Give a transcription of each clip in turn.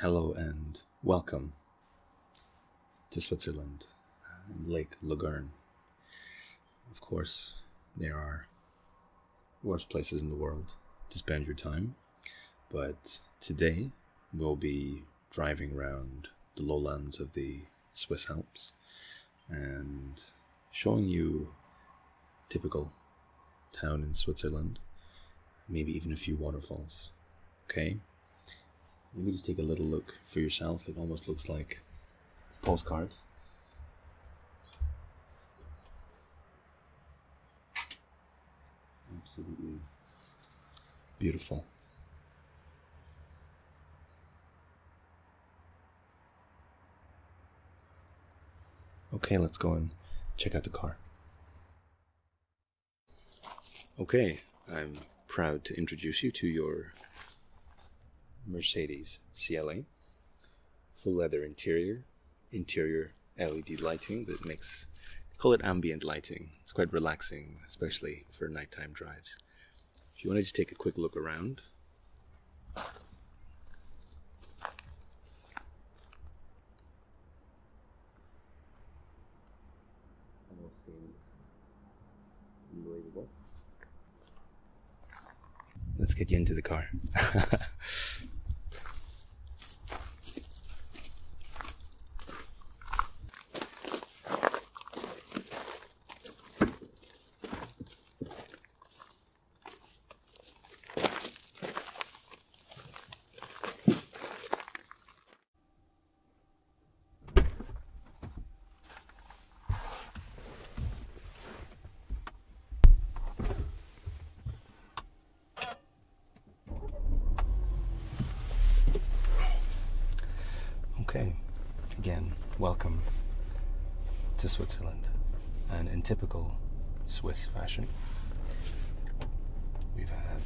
Hello and welcome to Switzerland and uh, Lake Lagern. Of course, there are worse places in the world to spend your time, but today we'll be driving around the lowlands of the Swiss Alps and showing you typical town in Switzerland, maybe even a few waterfalls. Okay. Let me just take a little look for yourself. It almost looks like postcard. Absolutely beautiful. Okay, let's go and check out the car. Okay, I'm proud to introduce you to your Mercedes CLA. Full leather interior, interior LED lighting that makes, call it ambient lighting. It's quite relaxing, especially for nighttime drives. If you wanted to take a quick look around, this. Doing what? Let's get you into the car. Okay, again, welcome to Switzerland. And in typical Swiss fashion, We've had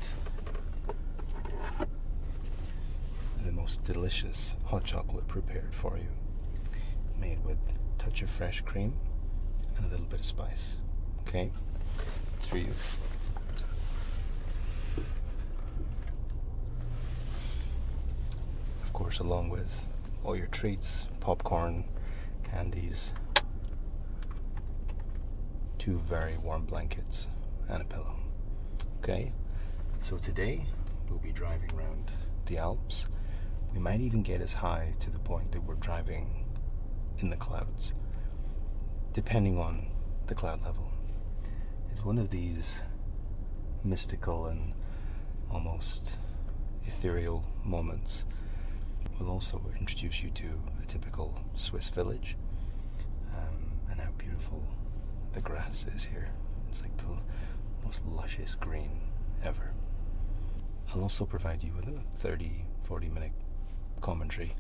the most delicious hot chocolate prepared for you, made with touch of fresh cream and a little bit of spice. Okay, it's for you. Of course, along with all your treats, popcorn, candies, two very warm blankets, and a pillow. Okay, so today we'll be driving around the Alps. We might even get as high to the point that we're driving in the clouds, depending on the cloud level. It's one of these mystical and almost ethereal moments. We'll also introduce you to a typical Swiss village, um, and how beautiful the grass is here. It's like the most luscious green ever. I'll also provide you with a 30 40 minute commentary,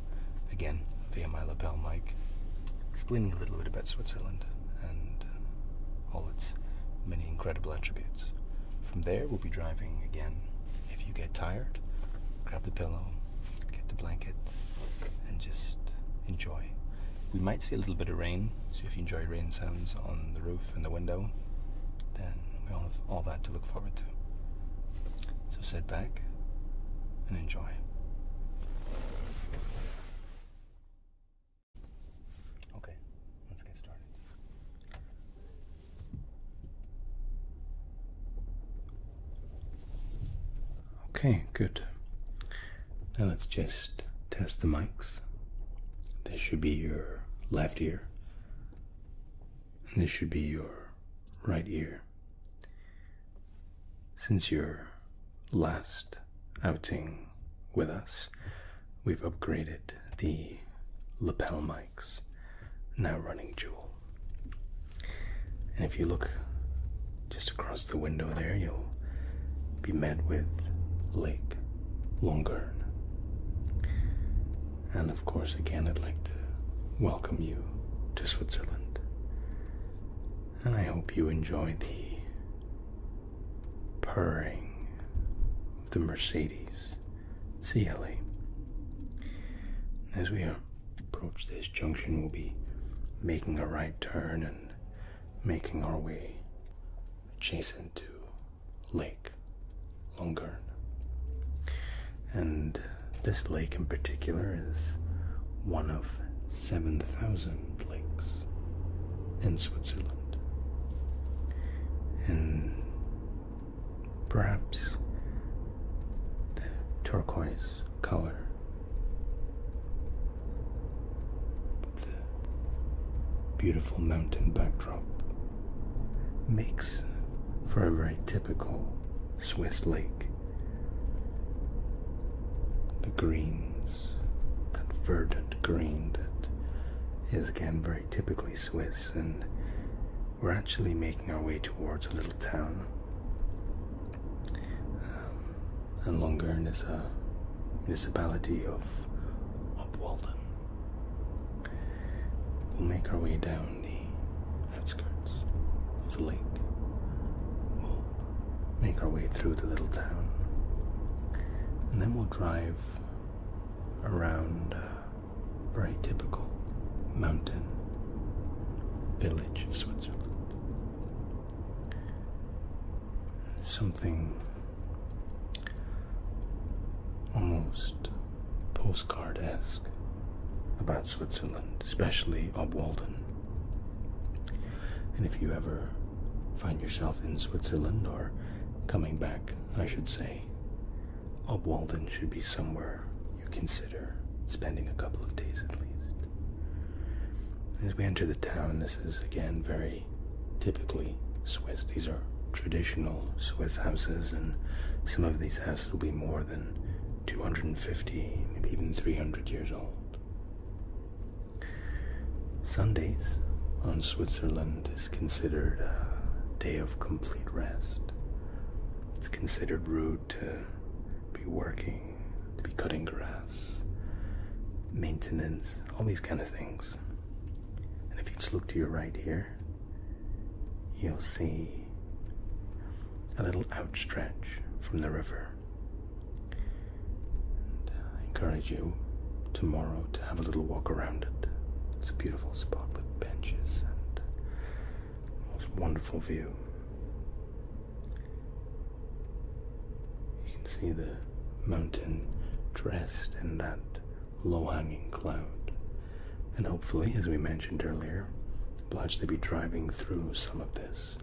again via my lapel mic, explaining a little bit about Switzerland and uh, all its many incredible attributes. From there, we'll be driving again. If you get tired, grab the pillow, get the blanket, and just enjoy. We might see a little bit of rain, so if you enjoy rain sounds on the roof and the window, then we all have all that to look forward to. So sit back and enjoy. Okay, let's get started. Okay, good. Now let's just test the mics. This should be your left ear, this should be your right ear. Since your last outing with us, we've upgraded the lapel mic now running jewel, And if you look just across the window there, you'll be met with Lake Longern. And of course, again, I'd like to welcome you to Switzerland. And I hope you enjoy the purring of the Mercedes CLA as we are approach this junction, we'll be making a right turn and making our way adjacent to Lake Longern. And this lake in particular is one of 7,000 lakes in Switzerland. And perhaps the turquoise color. The beautiful mountain backdrop makes for a very typical Swiss lake. The greens, that verdant green that is again very typically Swiss, and we're actually making our way towards a little town um, and Longern is a uh, municipality of Upwalden. We'll make our way down the outskirts of the lake. We'll make our way through the little town. And then we'll drive around uh, very typical mountain village of Switzerland. Something almost postcard esque about Switzerland, especially Obwalden. And if you ever find yourself in Switzerland or coming back, I should say, a Walden should be somewhere you consider spending a couple of days at least. As we enter the town, this is again very typically Swiss. These are traditional Swiss houses, and some of these houses will be more than 250, maybe even 300 years old. Sundays on Switzerland is considered a day of complete rest. It's considered rude to be working, to be cutting grass, maintenance, all these kind of things. And if you just look to your right here, you'll see a little outstretch from the river. I encourage you tomorrow to have a little walk around it. It's a beautiful spot with benches and most wonderful view. You can see the mountain dressed in that low hanging cloud. And hopefully, as we mentioned earlier, obliged to be driving through some of this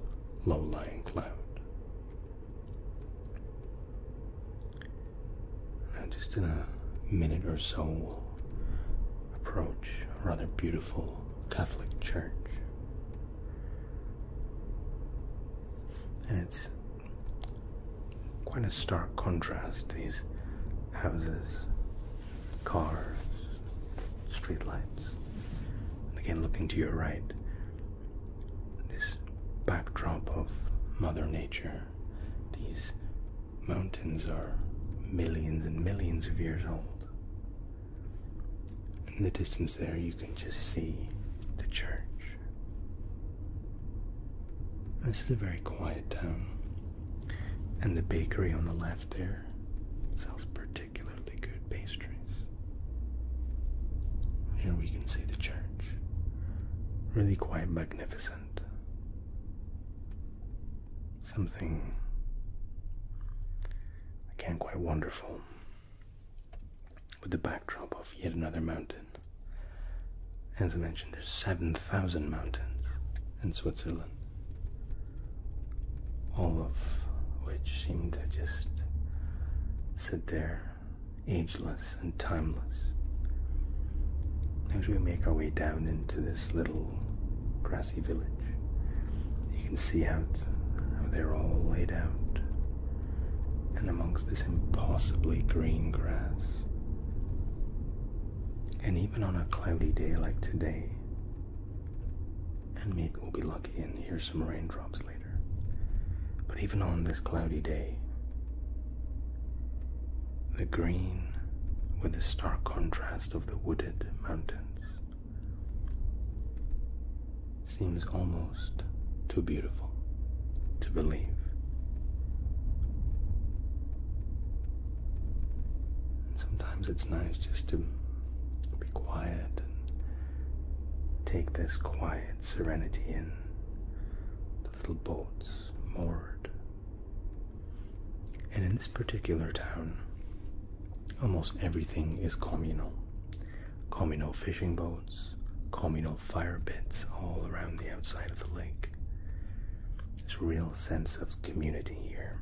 low lying cloud. And just in a minute or so, approach a rather beautiful Catholic Church. And it's quite a stark contrast these houses, cars, streetlights. And again, looking to your right, this backdrop of Mother Nature, these Mountains are millions and millions of years old. In the distance there, you can just see the church. This is a very quiet town, and the bakery on the left there sells particularly good pastries. Here we can see the church. Really quite magnificent something again quite wonderful with the backdrop of yet another mountain. As I mentioned, there's 7,000 mountains in Switzerland, all of which seem to just sit there ageless and timeless. As we make our way down into this little village. You can see out how they're all laid out, and amongst this impossibly green grass. And even on a cloudy day like today, and maybe we'll be lucky and hear some raindrops later, but even on this cloudy day, the green with the stark contrast of the wooded mountains seems almost too beautiful to believe. sometimes it's nice just to be quiet and take this quiet serenity in. The little boats moored and in this particular town, almost everything is communal. Communal fishing boats, communal fire pits all around the outside of the lake. There's a real sense of community here.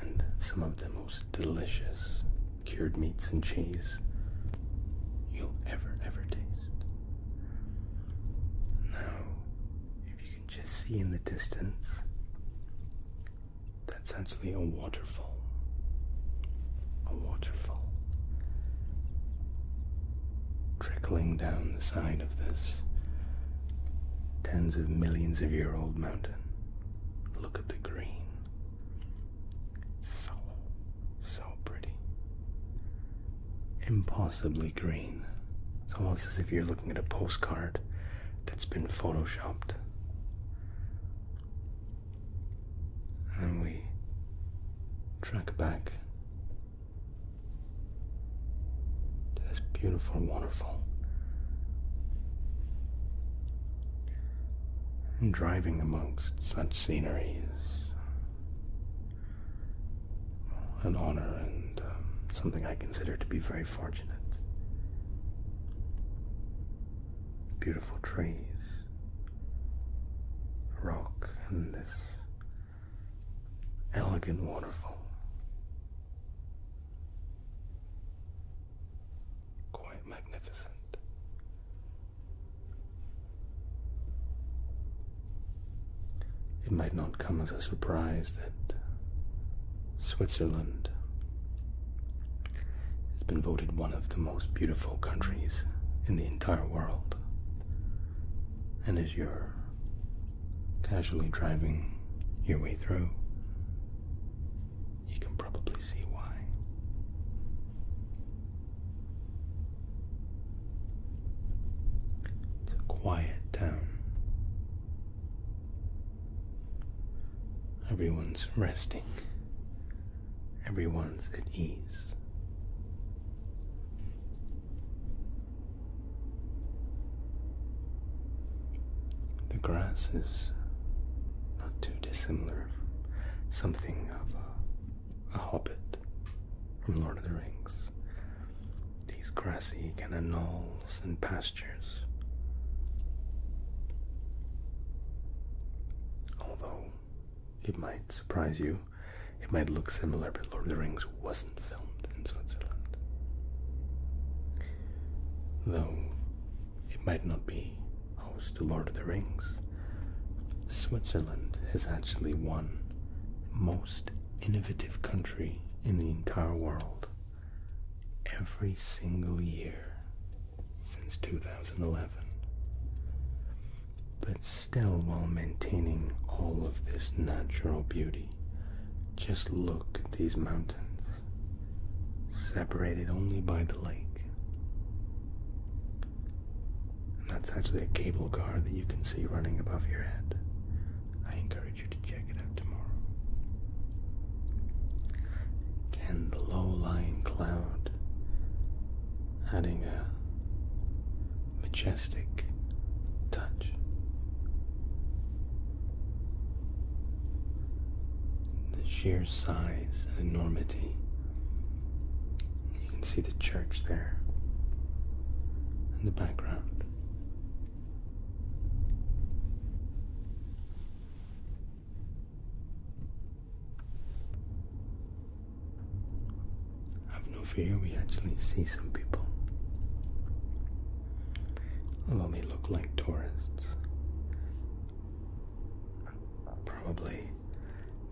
And some of the most delicious cured meats and cheese you'll ever, ever taste. Now, if you just see in the distance that's actually a waterfall. A waterfall trickling down the side of this tens of millions of year old mountain. Look at the green. It's so, so pretty impossibly green. It's almost as if you're looking at a postcard that's been photoshopped. And we track back to this beautiful waterfall. And driving amongst such sceneries an honor and um, something I consider to be very fortunate. Beautiful trees, rock, and this elegant waterfall. Quite magnificent. It might not come as a surprise that Switzerland has been voted one of the most beautiful countries in the entire world. And as you're casually driving your way through, you can probably see why. It's a quiet town Everyone's resting. Everyone's at ease. The grass is not too dissimilar something of a, a hobbit from Lord of the Rings these grassy kind knolls and pastures. Although it might surprise you, it might look similar, but Lord of the Rings wasn't filmed in Switzerland. Though it might not be host to Lord of the Rings, Switzerland has actually won most innovative country in the entire world every single year since 2011. But still while maintaining all of this natural beauty, just look at these mountains, separated only by the lake. that's actually a cable car that you can see running above your head. I encourage encourage the low lying cloud adding a majestic touch. The sheer size and enormity. You can see the church there in the background. Have no fear, we actually see some people. Although they look like tourists, probably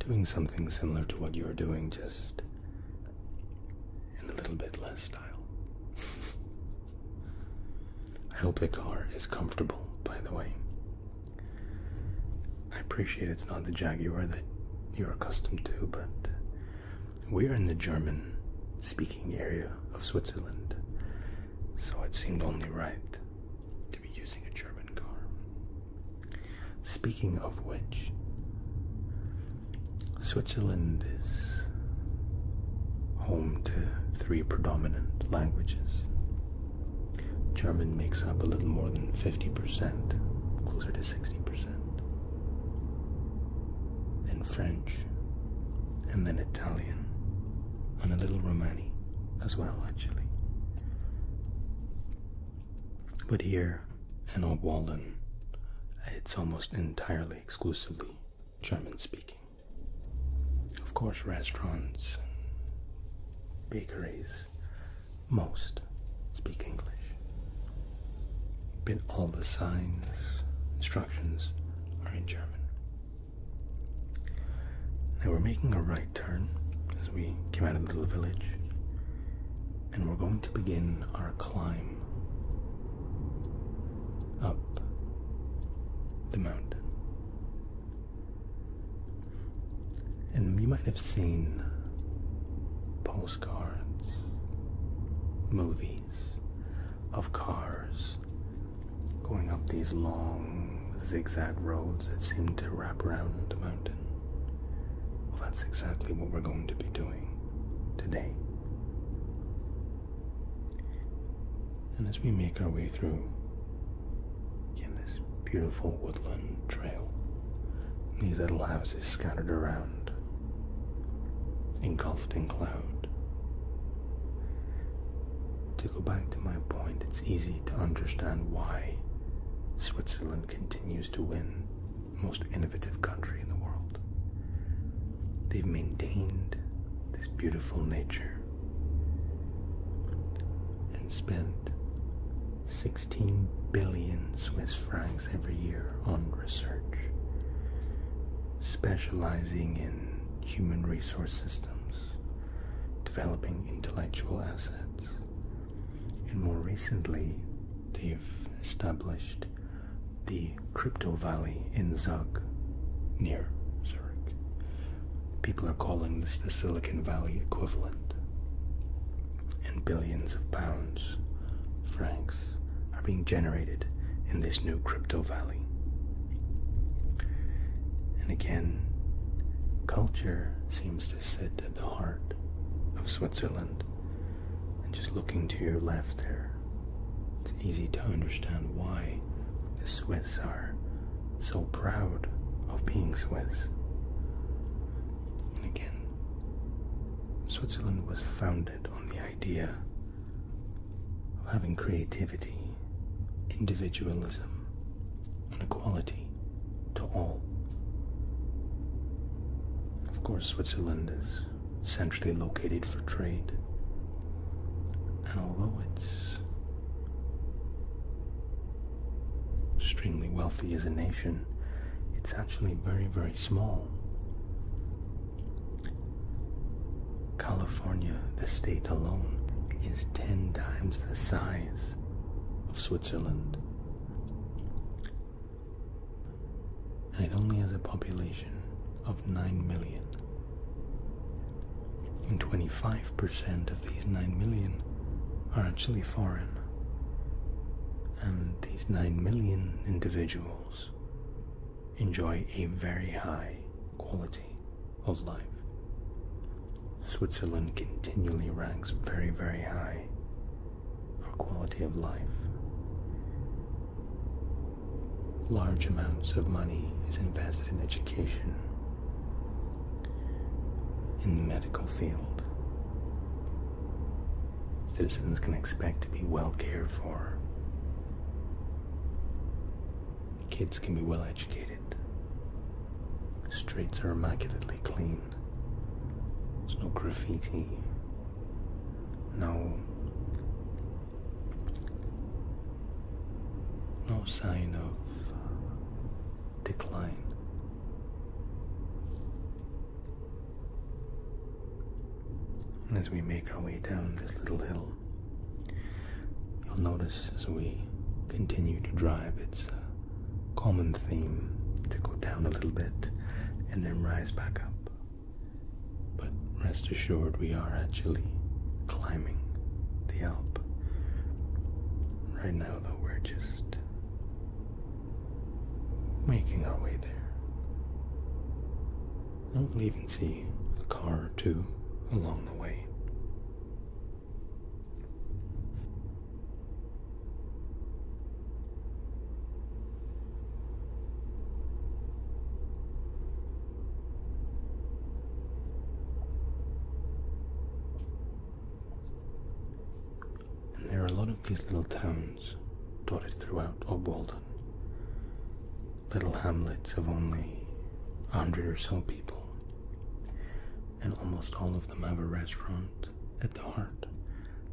doing something similar to what you're doing, just in a little bit less I hope the car is comfortable, by the way. I appreciate it's not the Jaguar that you're accustomed to, but we're in the German speaking area of Switzerland, so it seemed only right to be using a German car. Speaking of which, Switzerland is home to three predominant languages. German makes up a little more than 50%, closer to 60%. Then French, and then Italian, and a little Romani as well, actually. But here in Old Walden, it's almost entirely exclusively German speaking. Of course, restaurants bakeries, most speak English. But all the signs, instructions are in German. Now we're making a right turn as we came out of the little village, and we're going to begin our climb up the mountain. And you might have seen postcards, movies of cars going up these long zigzag roads that seem to wrap around the mountain. Well, that's exactly what we're going to be doing today. And as we make our way through, this beautiful woodland trail, these little houses scattered around, engulfed in cloud. To go back to my point, it's easy to understand why Switzerland continues to win most innovative country in the world. They've maintained this beautiful nature and spent 16 billion Swiss francs every year on research, specializing in human resource systems, developing intellectual assets, and more recently, they've established the crypto valley in Zug near Zurich. People are calling this the Silicon Valley equivalent. And billions of pounds, francs, are being generated in this new crypto valley. And again, culture seems to sit at the heart of Switzerland and just looking to your left there, it's easy to understand why the Swiss are so proud of being Swiss. And again, Switzerland was founded on the idea of having creativity, individualism, and equality to all. Of course, Switzerland is centrally located for trade. And although it's extremely wealthy as a nation, it's actually very, very small. California, the state alone, is 10 times the size of Switzerland and it only has a population of 9 million. And 25% of these 9 million are actually foreign. And these 9 million individuals enjoy a very high quality of life. Switzerland continually ranks very, very high for quality of life large amounts of money is invested in education in the medical field. Citizens can expect to be well cared for. Kids can be well educated. Streets are immaculately clean. There's no graffiti no. No sign of decline. as we make our way down this little hill, you'll notice as we continue to drive, it's a common theme to go down a little bit and then rise back up. But rest assured, we are actually climbing the Alp. Right now, though, we're just making our way there. And we'll even see a car or two along the way. And there are a lot of these little towns dotted throughout Obwalden. Little hamlets of only a hundred or so people. And almost all of them have a restaurant at the heart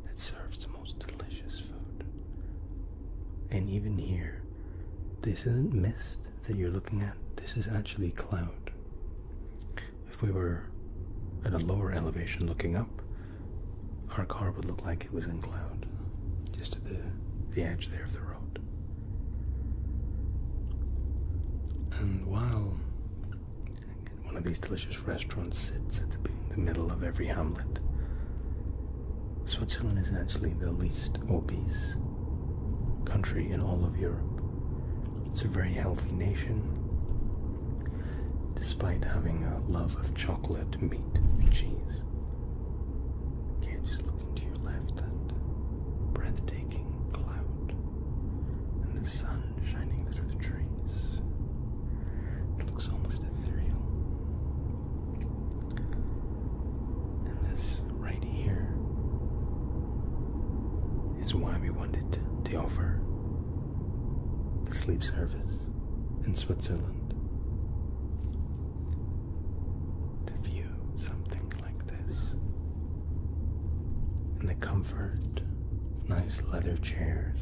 that serves most delicious food. And even here, this isn't mist that you're looking at, this is actually cloud. If we were at a lower elevation looking up, our car would look like it was in cloud, just at the, the edge there of the road. And while one of these delicious restaurants sits at the, the middle of every hamlet, Switzerland is actually the least obese country in all of Europe. It's a very healthy nation, despite having a love of chocolate, meat, and cheese. Okay, just looking to your left, that breathtaking cloud, and the sun shining through the trees. It looks almost ethereal. And this right here is why we wanted to offer the sleep service in Switzerland. To view something like this in the comfort, nice leather chairs,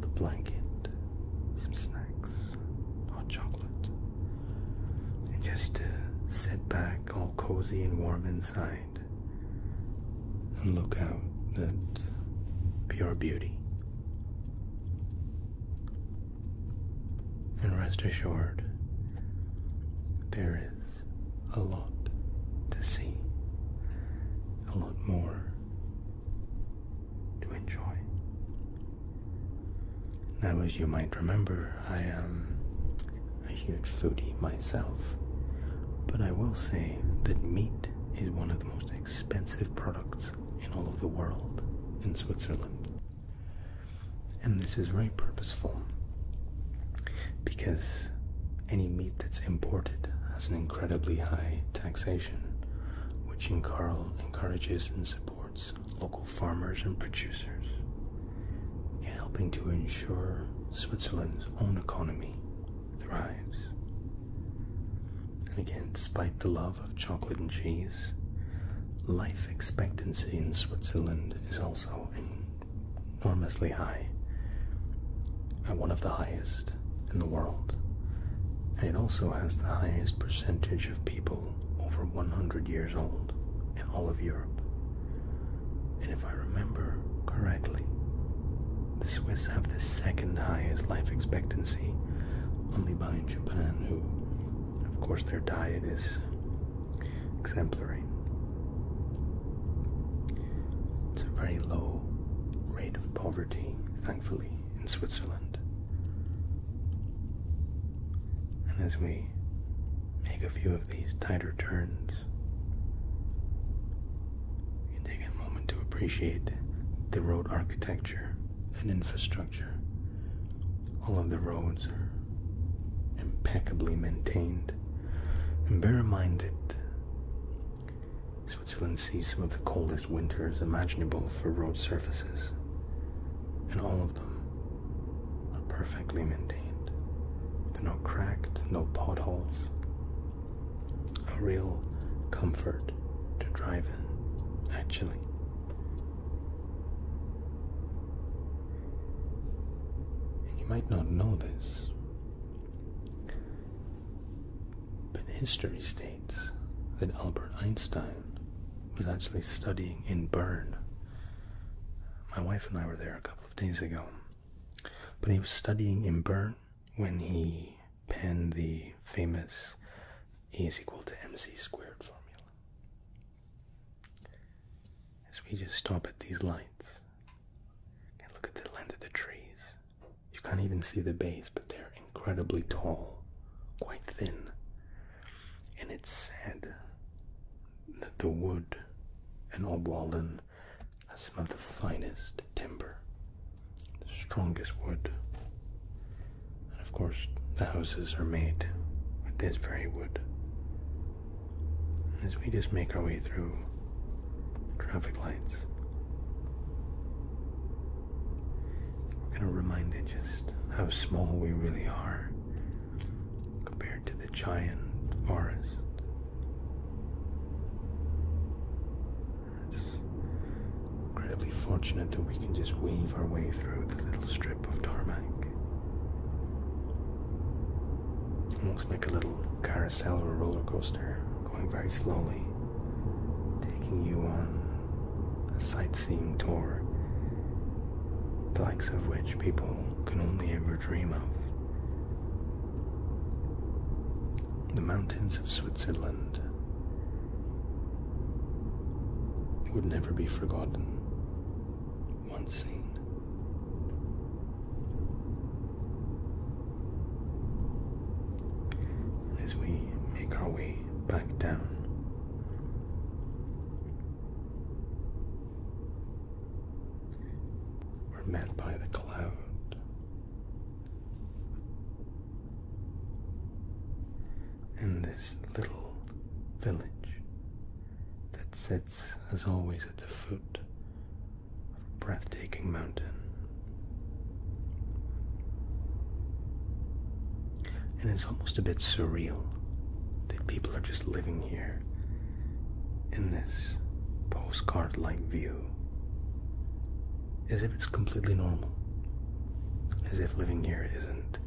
the blanket, some snacks hot chocolate, and just sit back all cozy and warm inside and look out at pure beauty. And rest assured, there is a lot to see, a lot more to enjoy. Now, as you might remember, I am a huge foodie myself, but I will say that meat is one of the most expensive products in all of the world in Switzerland. And this is very purposeful because any meat that's imported has an incredibly high taxation which encourages and supports local farmers and producers, again helping to ensure Switzerland's own economy thrives. And again, despite the love of chocolate and cheese, life expectancy in Switzerland is also enormously high, and one of the highest in the world, and it also has the highest percentage of people over 100 years old in all of Europe. And if I remember correctly, the Swiss have the second highest life expectancy, only behind Japan, who, of course, their diet is exemplary. It's a very low rate of poverty, thankfully, in Switzerland. And as we make a few of these tighter turns, you take a moment to appreciate the road architecture and infrastructure. All of the roads are impeccably maintained. And bear minded Switzerland sees some of the coldest winters imaginable for road surfaces, and all of them are perfectly maintained. They're not cracked, no potholes. A real comfort to drive in, actually. And you might not know this, but history states that Albert Einstein was actually studying in Bern. My wife and I were there a couple of days ago. But he was studying in Bern when he penned the famous E is equal to mc squared formula. As we just stop at these lights and look at the length of the trees, you can't even see the base but they're incredibly tall, quite thin. And it's sad that the wood in Obwalden has some of the finest timber, the strongest wood. And of course, the houses are made with this very wood. As we just make our way through traffic lights, we're going to remind it just how small we really are compared to the giant forest. It's incredibly fortunate that we can just weave our way through the little strip of tarmac. Almost like a little carousel or roller coaster going very slowly taking you on a sightseeing tour, the likes of which people can only ever dream of. The mountains of Switzerland would never be forgotten once seen. as we make our way back down. We're met by the cloud. And this little village that sits, as always, at the foot of a breathtaking mountain. And it's almost a bit surreal that people are just living here in this postcard like view as if it's completely normal, as if living here isn't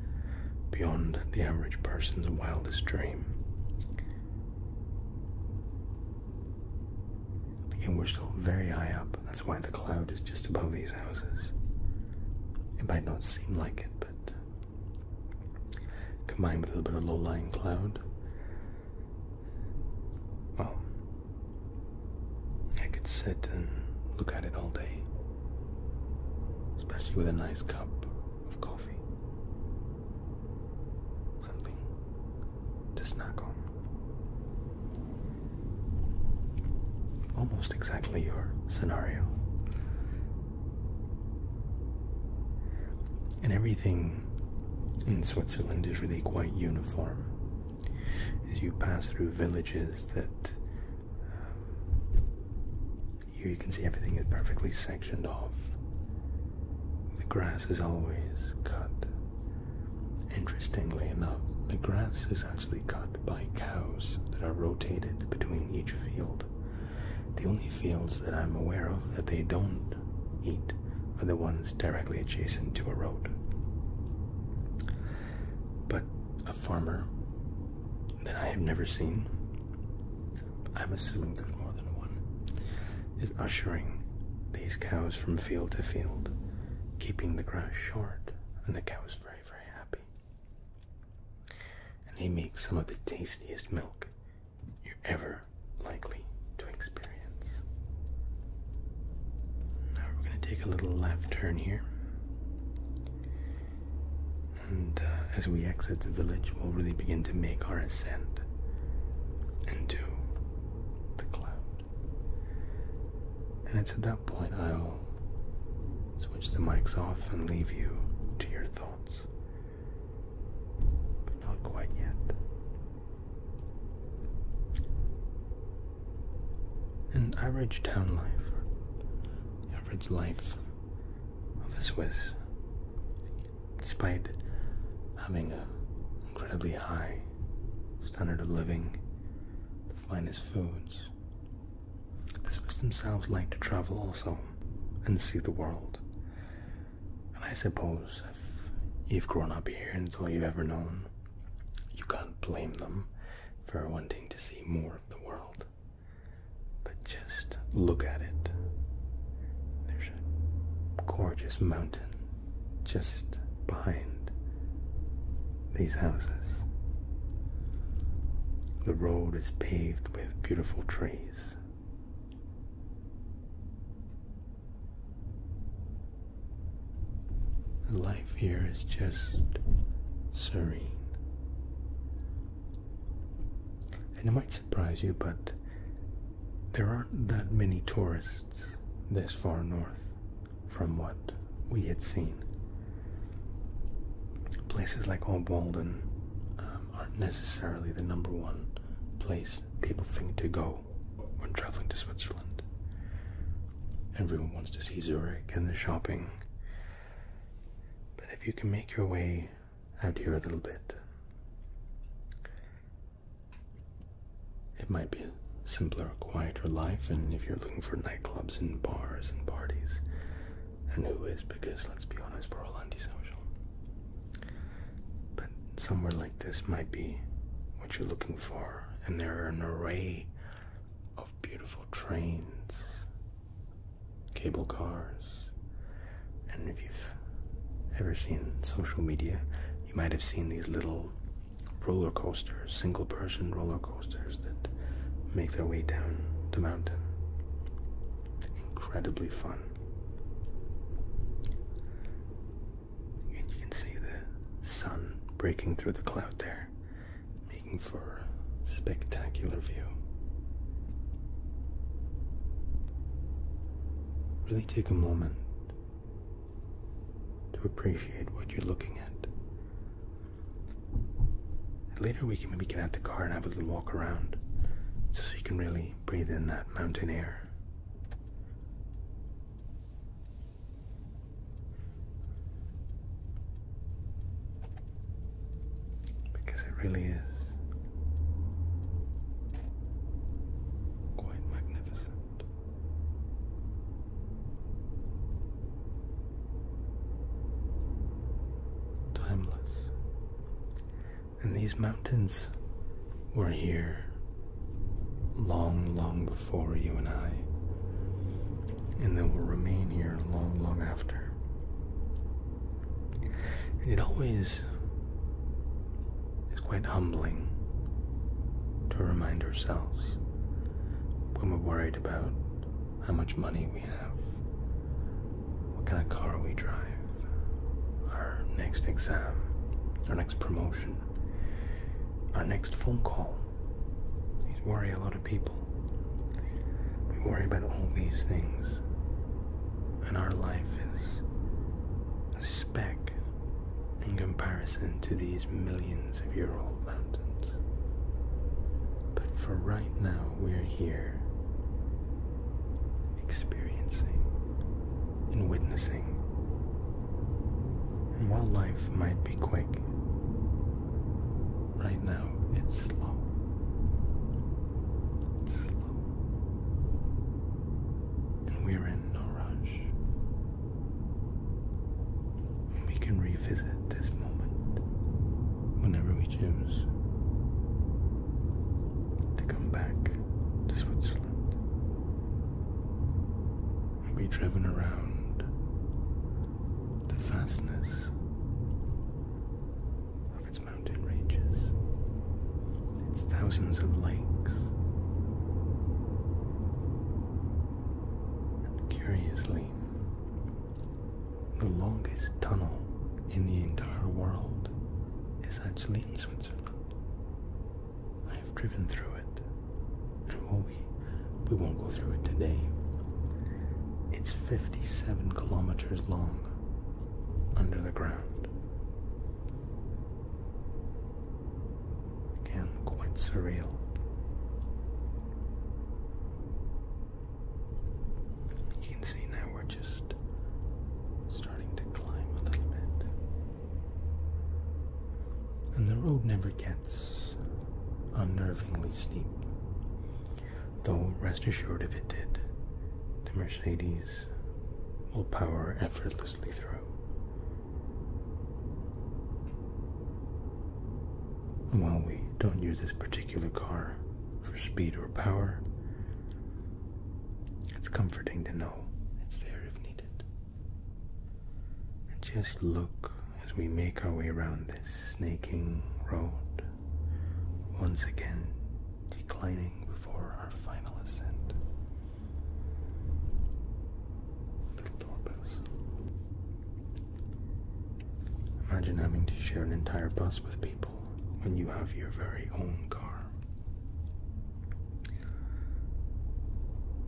beyond the average person's wildest dream. Again, we're still very high up that's why the cloud is just above these houses. It might not seem like it, but combined with a little bit of low lying cloud, well, I could sit and look at it all day, especially with a nice cup of coffee. Something to snack on. Almost exactly your scenario. And everything in Switzerland is really quite uniform. As you pass through villages that um, here you can see everything is perfectly sectioned off. The grass is always cut. Interestingly enough, the grass is actually cut by cows that are rotated between each field. The only fields that I'm aware of that they don't eat are the ones directly adjacent to a road. But a farmer that I have never seen, I'm assuming there's more than one, is ushering these cows from field to field, keeping the grass short and the cows free very, happy. And they make some of the tastiest milk you're ever likely to experience. Now we're going to take a little left turn here. And uh, as we exit the village, we'll really begin to make our ascent into the cloud. And it's at that point I'll switch the mics off, and leave you to your thoughts. But not quite yet. An average town life, or average life of a Swiss, despite having an incredibly high standard of living, the finest foods, the Swiss themselves like to travel also and see the world. And I suppose if you've grown up here and all you've ever known, you can't blame them for wanting to see more of the world. But just look at it. There's a gorgeous mountain just behind these houses. The road is paved with beautiful trees. Life here is just serene. And it might surprise you, but there aren't that many tourists this far north from what we had seen. Places like Obwalden um, aren't necessarily the number one place people think to go when traveling to Switzerland. Everyone wants to see Zurich and the shopping. But if you can make your way out here a little bit, it might be simpler, quieter life, and if you're looking for nightclubs and bars and parties, and who is, because let's be honest, we're all antisocial. But somewhere like this might be what you're looking for, and there are an array of beautiful trains, cable cars, and if you've ever seen social media, you might have seen these little roller coasters, single person roller coasters that make their way down the mountain. Incredibly fun. And you can see the sun breaking through the cloud there, making for a spectacular view. Really take a moment to appreciate what you're looking at. Later, we can maybe get out the car and have a little walk around so you can really breathe in that mountain air. Because it really is quite magnificent timeless. And these mountains were here long, long before you and I, and they will remain here long, long after. And it always is quite humbling to remind ourselves when we're worried about how much money we have, what kind of car we drive, our next exam, our next promotion, our next phone call. These worry a lot of people. We worry about all these things, and our life is a speck in comparison to these millions of year old but for right now, we're here experiencing and witnessing. And while life might be quick, right now it's slow. slow. And we're in no rush. We can revisit this moment whenever we choose to come back to Switzerland and be driven around the vastness of its mountain ranges, its thousands of lakes. And curiously, the longest tunnel in the entire world is actually in Switzerland. I have driven through it, and while we we won't go through it today, it's 57 kilometers long under the ground. Again, quite surreal. You can see now we're just starting to climb a little bit. And the road never gets unnervingly steep. Though, rest assured, if it did, the Mercedes will power effortlessly through. While we don't use this particular car for speed or power, it's comforting to know it's there if needed. And just look as we make our way around this snaking road, once again declining before our final ascent. Imagine having to share an entire bus with people when you have your very own car.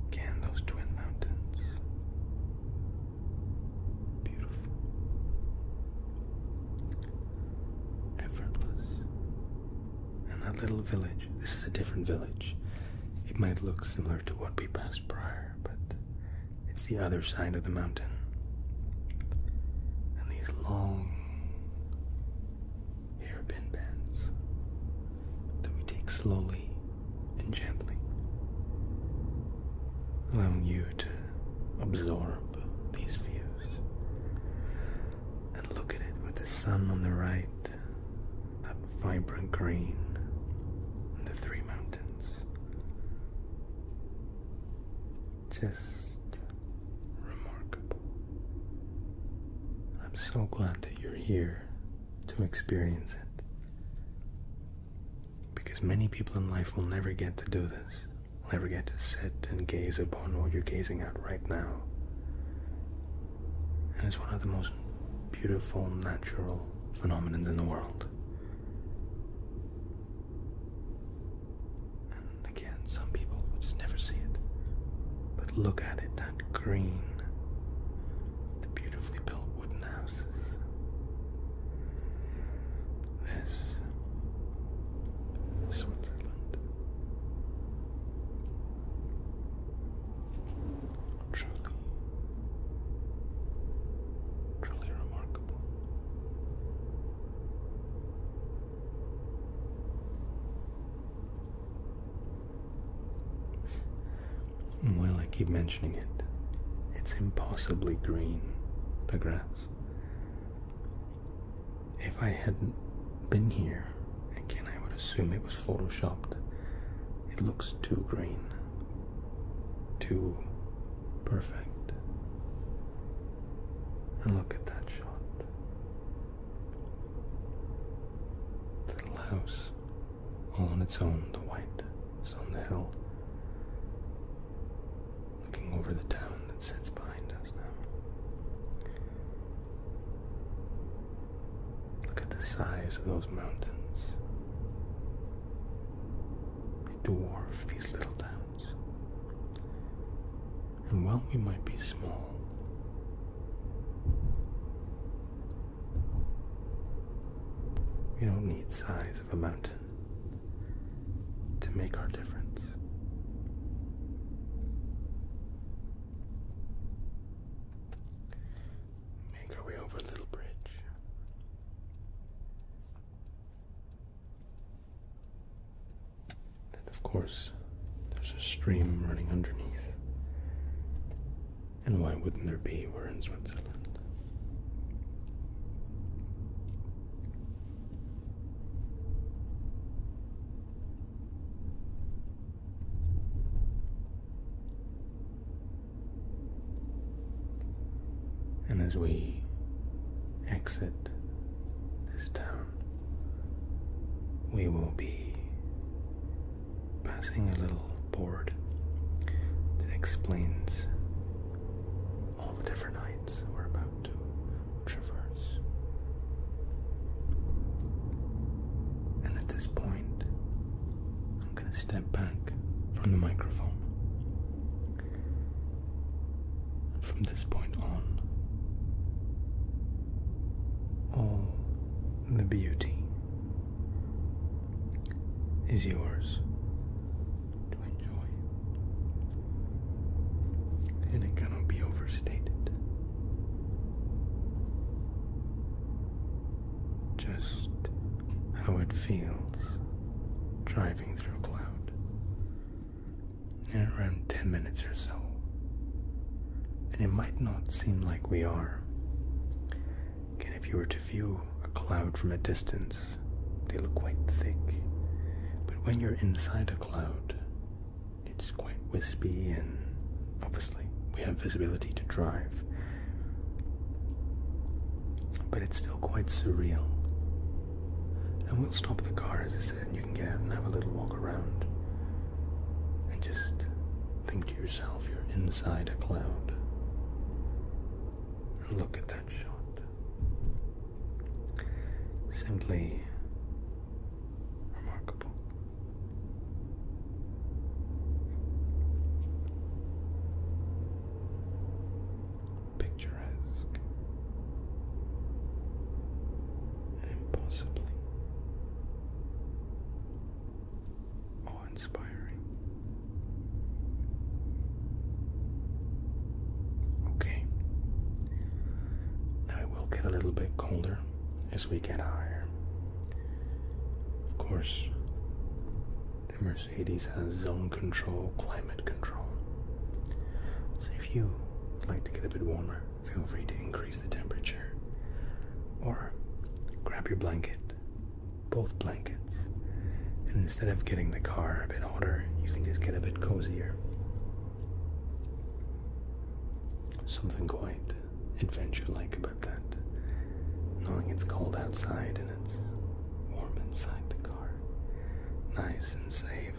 Can those twin mountains? Beautiful. Effortless. And that little village, this is a different village. It might look similar to what we passed prior, but it's the other side of the mountain. And these long hairpin bends that we take slowly and gently, allowing you to absorb these views and look at it with the sun on the right, that vibrant green, and the three mountains. Just remarkable. I'm so glad that you're here to experience it. Because many people in life will never get to do this, will never get to sit and gaze upon what you're gazing at right now. And it's one of the most beautiful, natural, phenomena in the world. And again, some people just never see it. But look at it that green, the beautifully built wooden houses. This Switzerland truly, truly remarkable. Well, I keep mentioning it. It's impossibly green, the grass. If I hadn't been here, again, I would assume it was photoshopped it looks too green, too perfect. And look at that shot. The little house, all on its own, the white is on the hill, looking over the town that sits behind us now. Look at the size of those mountains. We dwarf these little towns. And while we might be small, we don't need size of a mountain to make our difference. Make our way over a little bridge. Then, of course, there's a stream running underneath. And why wouldn't there be? We're in Switzerland. And as we exit this town, we will be passing a little board that explains all the different heights we're about to traverse. And at this point, I'm going to step back from the microphone. from this point on, all the beauty is yours to enjoy, and it cannot be overstated just how it feels driving through a cloud. In around 10 minutes or so. And it might not seem like we are. Again, if you were to view a cloud from a distance, they look quite thick. But when you're inside a cloud, it's quite wispy and obviously we have visibility to drive. But it's still quite surreal. And we'll stop the car, as I said, and you can get out and have a little walk around. And just think to yourself you're inside a cloud. look at that shot. Simply remarkable picturesque, and awe inspiring. Okay, now it will get a little bit colder as we get higher. Of course, the Mercedes has zone control, climate control. So if you like to get a bit warmer, feel free to increase the temperature. Or grab your blanket, both blankets, and instead of getting the car a bit hotter, you can just get a bit cozier. Something quite adventure like about that. Knowing it's cold outside and it's warm inside the car, nice and safe.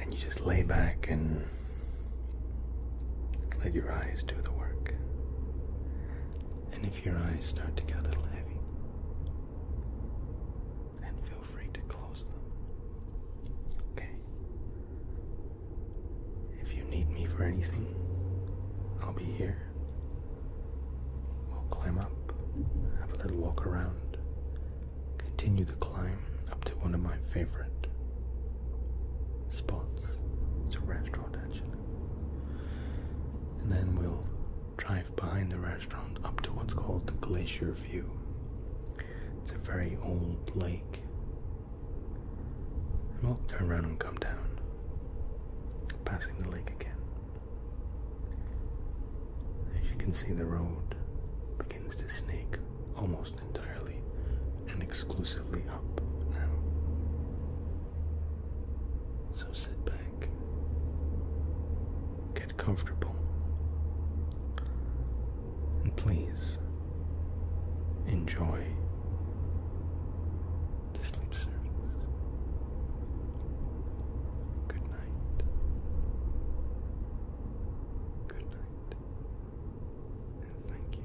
And you just lay back and let your eyes do the work. And if your eyes start to get a little heavy, then feel free to close them. Okay? If you need me for anything, I'll be here. We'll climb up, have a little walk around, continue the climb up to one of my favorite spots. It's a restaurant actually. And then we'll drive behind the restaurant up to what's called the Glacier View. It's a very old lake. And we'll turn around and come down, passing the lake again. As you can see, the road begins to snake almost entirely and exclusively up now. So sit back, get comfortable, and please enjoy the sleep service. Good night. Good night. And thank you.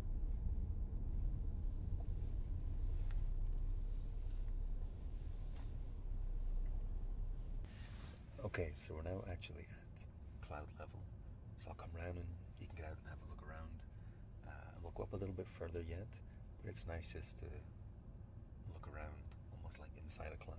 Okay, so we're now actually at cloud level. So I'll come round and you can get out and have a look around. Uh, we'll go up a little bit further yet, but it's nice just to look around almost like inside a cloud.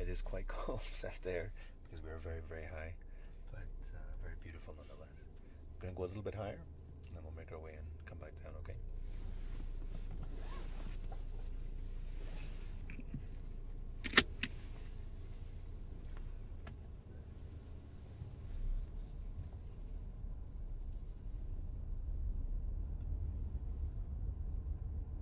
it is quite cold out there because we are very, very high, but uh, very beautiful nonetheless. We're going to go a little bit higher, and then we'll make our way and come back down, okay?